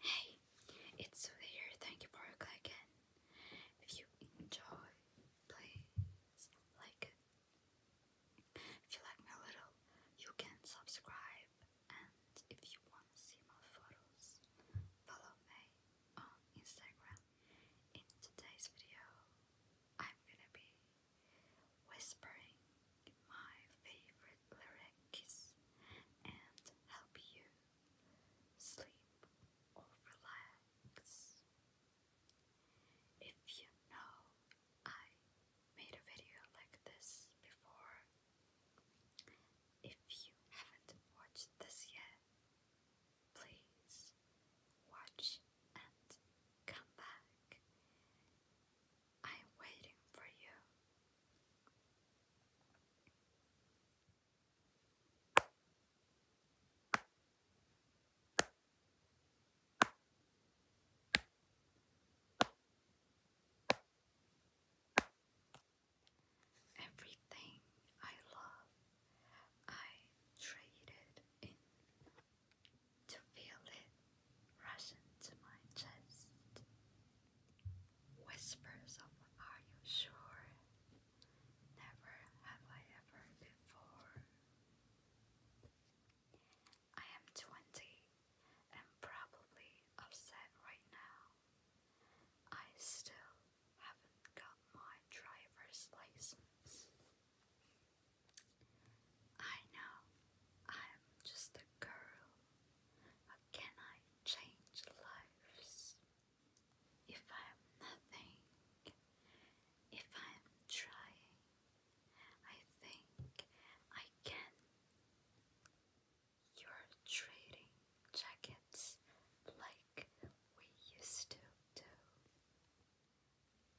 Hey, it's Sue Thank you for your If you enjoy, please like it. If you like me a little, you can subscribe. And if you want to see more photos, follow me on Instagram. In today's video, I'm gonna be whispering my favorite lyrics and help you sleep or relax. If you know I made a video like this before, if you haven't watched this yet, please watch and come back I'm waiting for you. Everything I love, I traded in to feel it rush into my chest. Whispers of are you sure? Never have I ever before. I am twenty and probably upset right now. I still haven't got my driver's license. I know I'm just a girl, can I change lives? If I am nothing, if I am trying, I think I can. You're trading jackets like we used to do.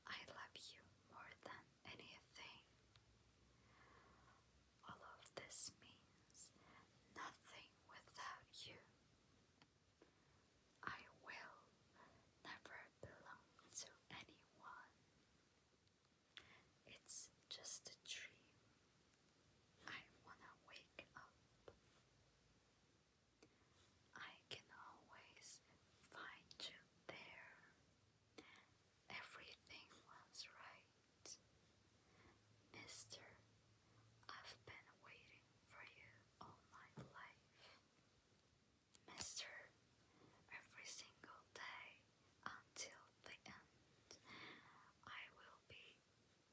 I love you more than anything. All of this means nothing without you. I will never belong to anyone. It's just a dream. I wanna wake up. I can always find you there. Everything was right. Mister, I've been waiting for you all my life. Mister, every single day until the end, I will be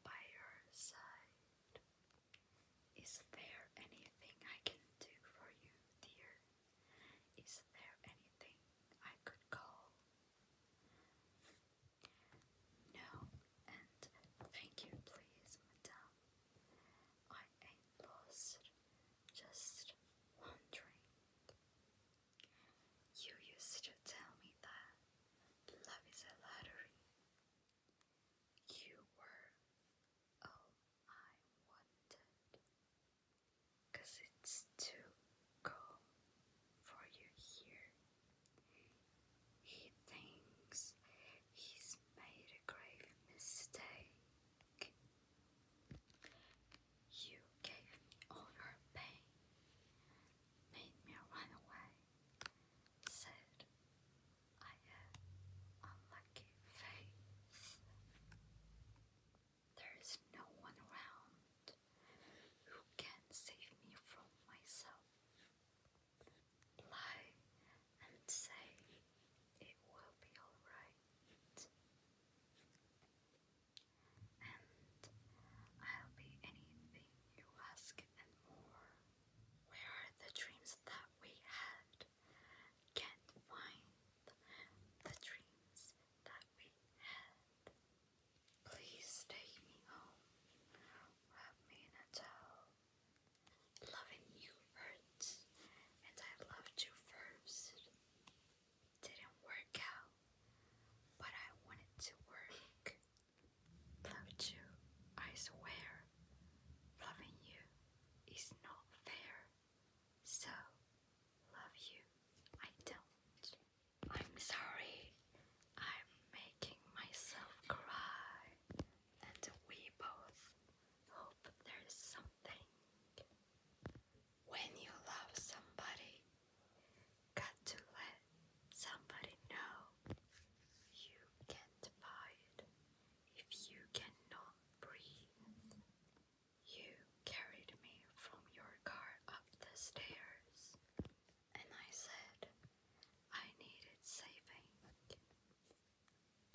by your side. Is there anything I can do for you, dear? Is there anything I could call? No, and thank you, please, madame. I ain't lost, just wandering. You used to tell me that love is a lottery. You were all oh, I wanted because it's too cold for you here. He thinks he's made a grave mistake. You gave me all your pain, made me run away, said I had unlucky faith. There is no one around who can save me from myself. Lie and say it will be alright. And I'll be anything you ask and more. Where are the dreams that we had? Can't find the dreams that we had. Please take me home. Wrap me in a towel. Loving you hurts, and I loved you first. Didn't work out, but I wanted to work. Loved you, I swear. Loving you is not fair. So, love you, I don't. I'm sorry. I'm making myself cry. And we both hope there is something. When you love somebody, got to let somebody know. You can't buy it if you cannot breathe. You carried me from your car up the stairs, and I said I needed saving.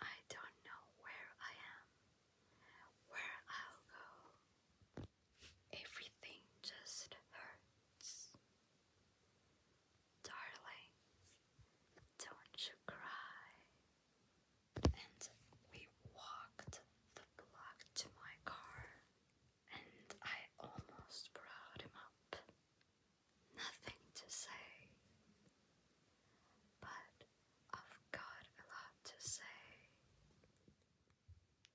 I don't know where I am, where I'll go. Everything just hurts. Darling, don't you cry. And we walked the block to my car and I almost brought him up. Nothing to say, but I've got a lot to say.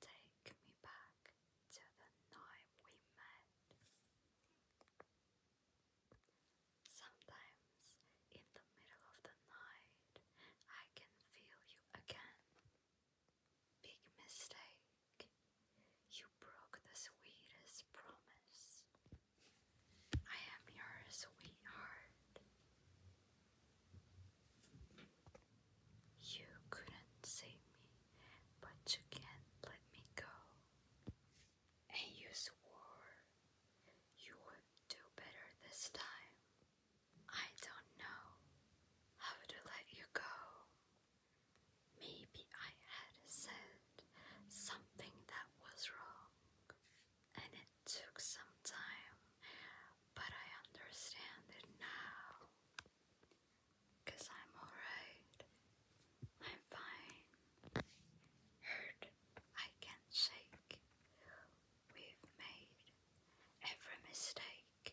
Take me back to the night we met. Sometimes in the middle of the night, I can feel you again. Big mistake. You broke the sweetest promise. I am your sweetheart. You couldn't save me, but you can't let me go. And you swore you would do better this time. I don't know how to let you go. Maybe I had said something that was wrong, and it took some time, but I understand it now. Cause I'm alright. I'm fine. Hurt, I can shake. We've made every mistake.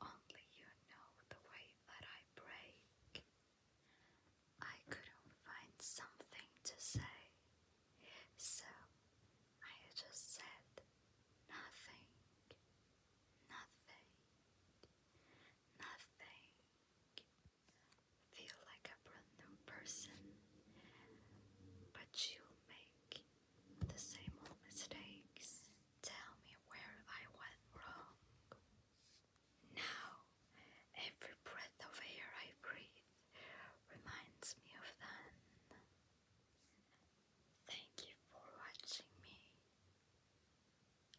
Only you know the way that I break. I couldn't find something to say, so I just said nothing, nothing, nothing. Feel like a brand new person, but you make the same old mistakes. Tell me where I went wrong. Now, every breath of air I breathe reminds me of them. Thank you for watching me.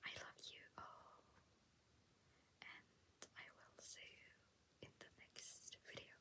I love you all, and I will see you in the next video.